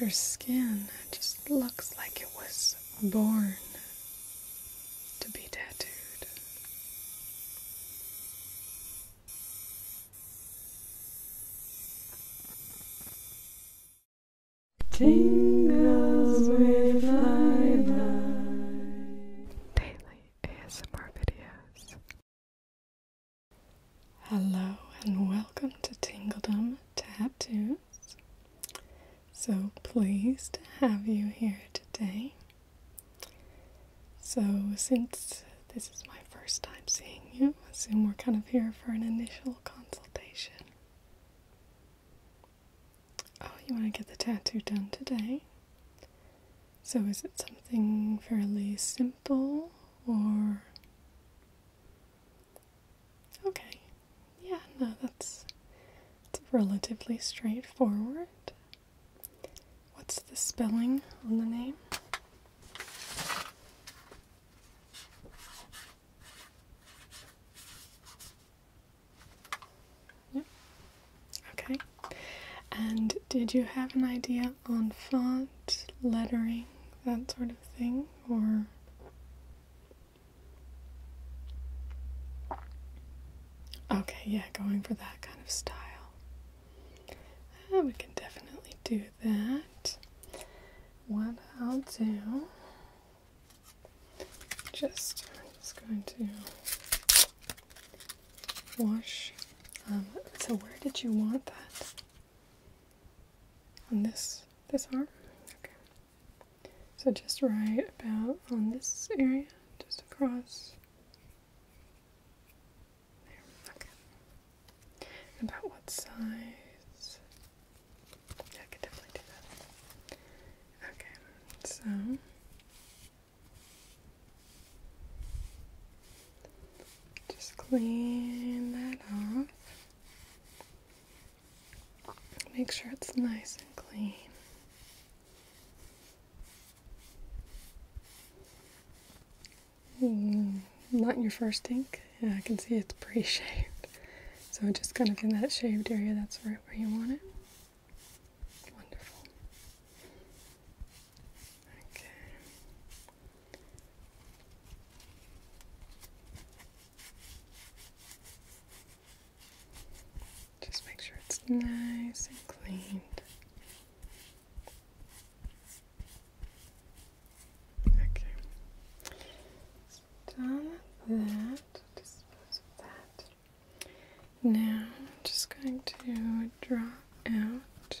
Your skin just looks like it was born to be tattooed. Tingles with my mind. Daily ASMR videos Hello and welcome to Tingledom Tattoos. So pleased to have you here today. So, since this is my first time seeing you, I assume we're kind of here for an initial consultation. Oh, you want to get the tattoo done today? So, is it something fairly simple or Okay. Yeah, no, that's it's relatively straightforward. What's the spelling on the name? Yep. Okay. And did you have an idea on font? lettering, that sort of thing, or Okay, yeah, going for that kind of style. Ah, we can definitely do that. What I'll do, just, I'm just going to wash. Um, so where did you want that? on this this arm. Okay. So just right about on this area, just across. There. Okay. About what size? Yeah, I could definitely do that. Okay. So just clean that off. Make sure it's nice and clean. Mm, not your first ink. Yeah, I can see it's pre-shaved. So just kind of in that shaved area, that's right where you want it. Wonderful. Just make sure it's nice and clean. Okay. done that. Dispose of that. Now I'm just going to draw out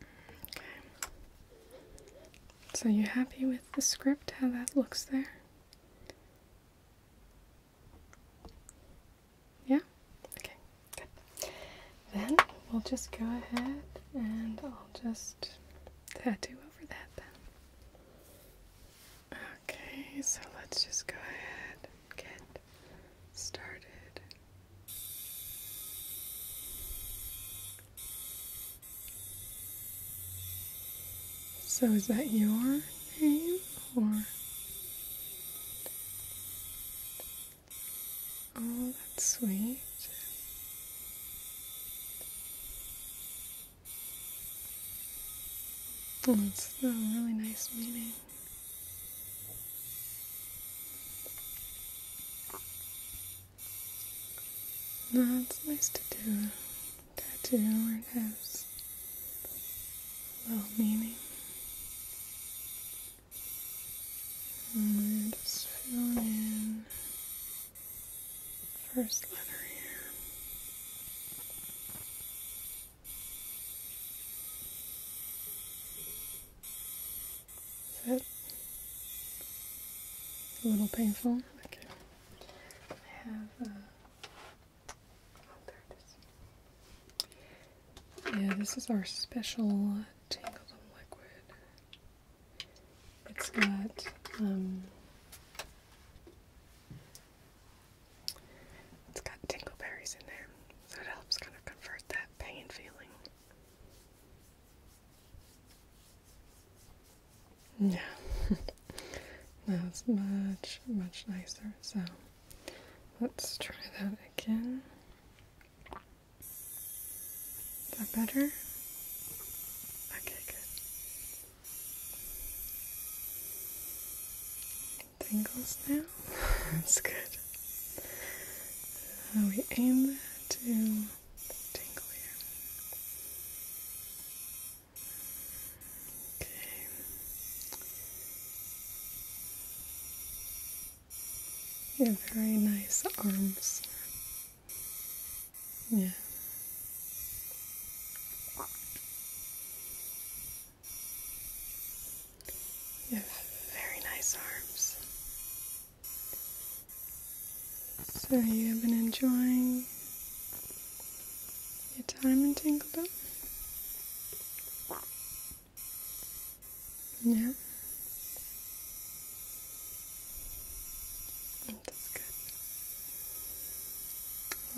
Okay. So you happy with the script, how that looks there? Yeah? Okay, good. Then we'll just go ahead and I'll just tattoo over that then. Okay, so let's just go ahead get started. So, is that your name or? Oh, that's sweet. Well, it's a really nice meeting. That's nice to do a tattoo where it has low meaning. And just fill in first letter here. Is it a little painful? Okay. I have. oh, uh, there it is. Yeah, this is our special Tangled liquid. It's got um, it's got tingleberries in there, so it helps kind of convert that pain feeling. Yeah, that's much, much nicer. So let's try that again. Is that better? Okay, good tingles now. That's good. Uh, we aim that to tingle here. Okay. You have very nice arms. Yeah. You have very nice arms. So you have been enjoying your time in Tinglebell? Yeah. That's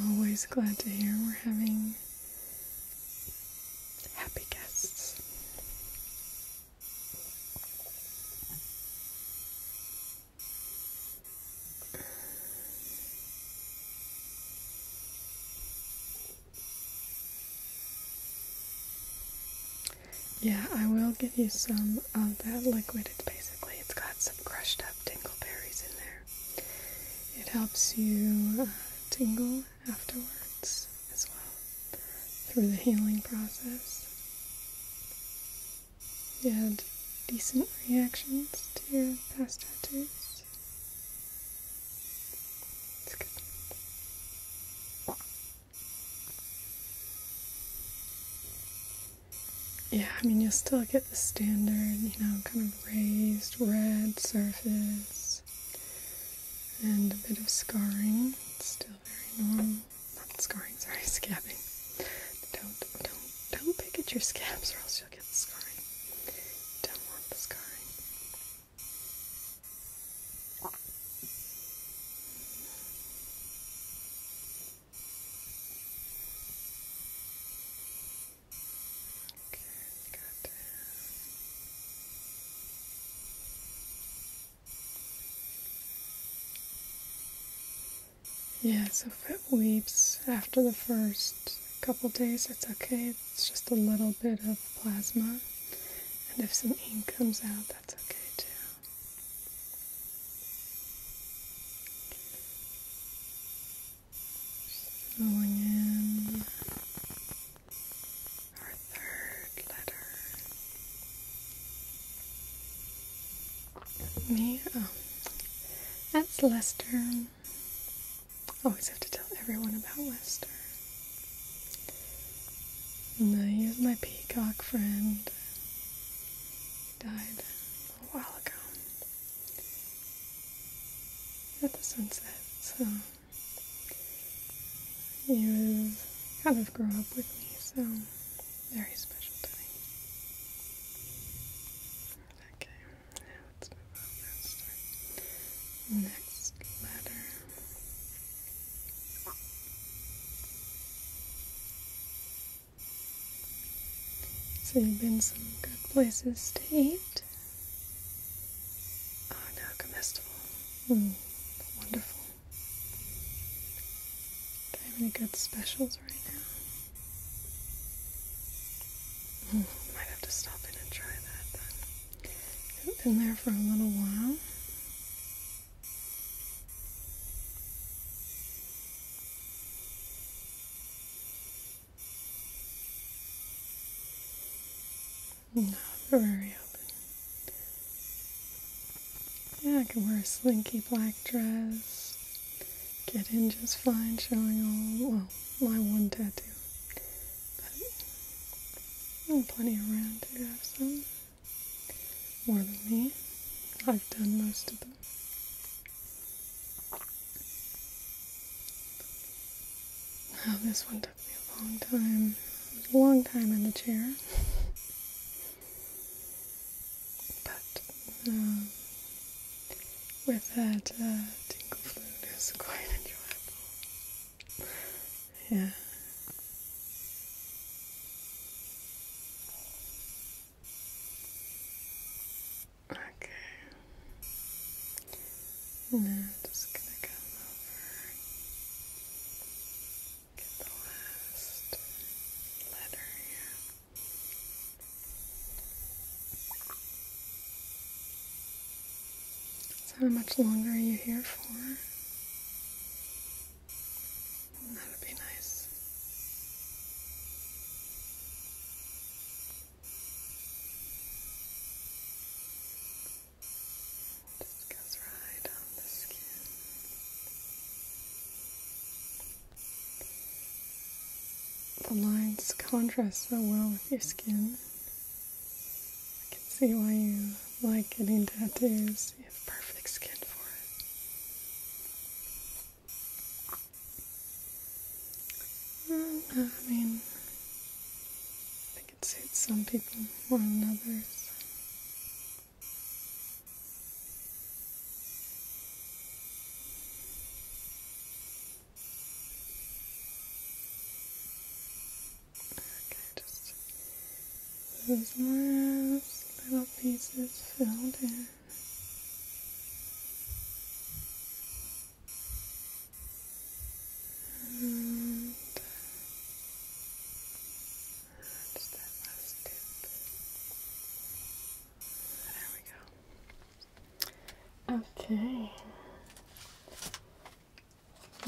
good. Always glad to hear we're having happy guests. Yeah, I will give you some of that liquid. It's basically it's got some crushed up dingleberries in there. It helps you uh, tingle afterwards as well through the healing process. You had decent reactions to your past tattoos. It's good. Yeah, I mean, you'll still get the standard, you know, kind of raised red surface and a bit of scarring. still very normal. Not scarring, sorry, scabbing. Don't don't don't pick at your scabs or else you'll get the scarring. don't want the scarring. Yeah, so if it weeps after the first couple days, it's okay. It's just a little bit of plasma. And if some ink comes out, that's okay too. Going in our third letter. Me? Oh, that's Lester. Always have to tell everyone about Lester. No, he was my peacock friend. He died a little while ago at the sunset. So you kind of grew up with me, so very special day. Okay, now let's move on and next letter. So you've been some good places to eat. Oh now comestible. Mm, wonderful. Do I have any good specials right now? Hmm, might have to stop in and try that been there for a little while. Not very open. Yeah, I can wear a slinky black dress. Get in just fine, showing all, well, my one tattoo. But mm, plenty around to have some. More than me. I've done most of them. Wow, this one took me a long time. It was a long time in the chair. but uh, with that uh, tingle it was quite enjoyable. Yeah. Okay. Now just gonna come over, get the last letter here. So how much longer are you here for? That would be nice. Just goes right on the skin. The lines contrast so well with your skin. I can see why you like getting tattoos. You have perfect skin for it. I mean, I think it suits some people more than others. Okay, just those last little pieces filled in. And that last tip. There we go. Okay.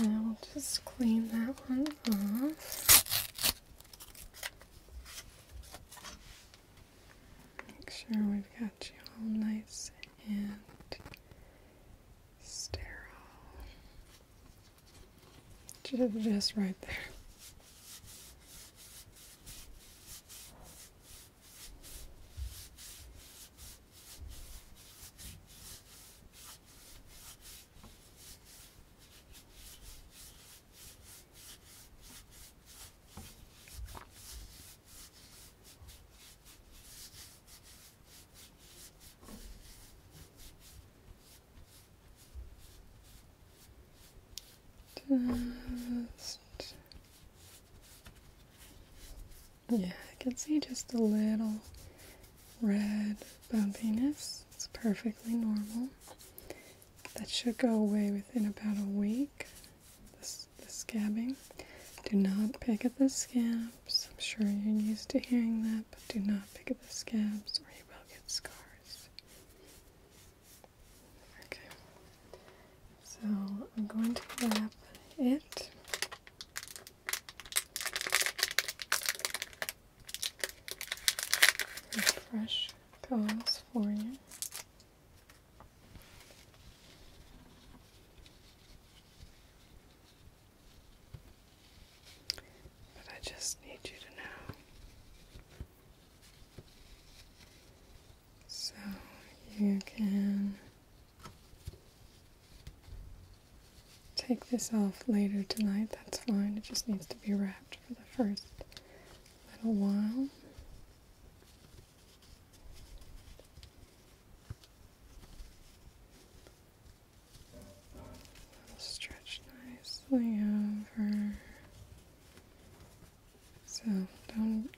Now we'll just clean that one off. Make sure we've got you all nice and sterile. Just right there. Just yeah, I can see just a little red bumpiness. It's perfectly normal. That should go away within about a week, this, the scabbing. Do not pick at the scabs. I'm sure you're used to hearing that, but do not pick at the scabs or you will get scars. Okay, so I'm going to wrap it. Fresh those for you. But I just need you to know. So you can take this off later tonight. That's fine. It just needs to be wrapped for the first little while. stretch nicely over. So don't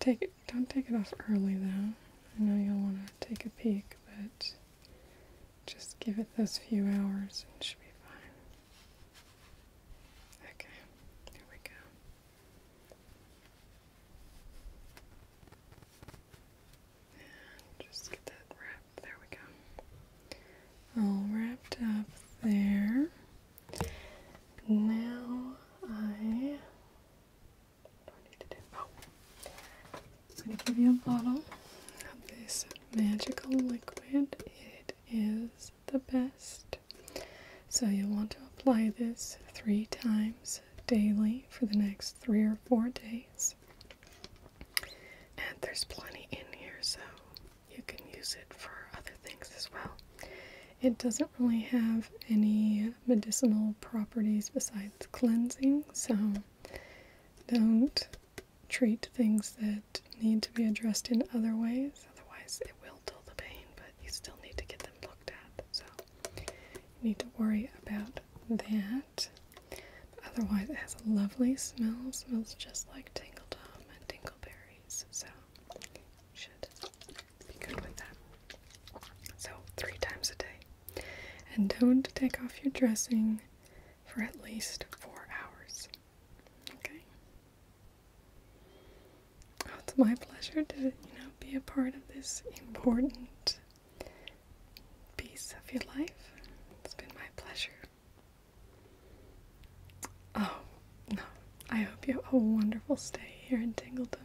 take it. Don't take it off early though. I know you'll want to take a peek, but. Just give it those few hours and it should be fine. Okay, here we go. And just get that wrapped. There we go. All wrapped up there. Now I. I'm going to give you a bottle of this magical liquid. It is the best. So you'll want to apply this three times daily for the next three or four days. And there's plenty in here, so you can use it for other things as well. It doesn't really have any medicinal properties besides cleansing, so don't treat things that need to be addressed in other ways. Otherwise, it will dull the pain, but you still need to get them looked at. So, you need to worry about that. otherwise, it has a lovely smell. smells just like Tingle Tom and Berries. So, should be good with that. So, three times a day. And don't take off your dressing for at least four hours. Okay? it's my pleasure to, you know, be a part of this important piece of your life. It's been my pleasure. Oh, no. I hope you have a wonderful stay here in Tingleton.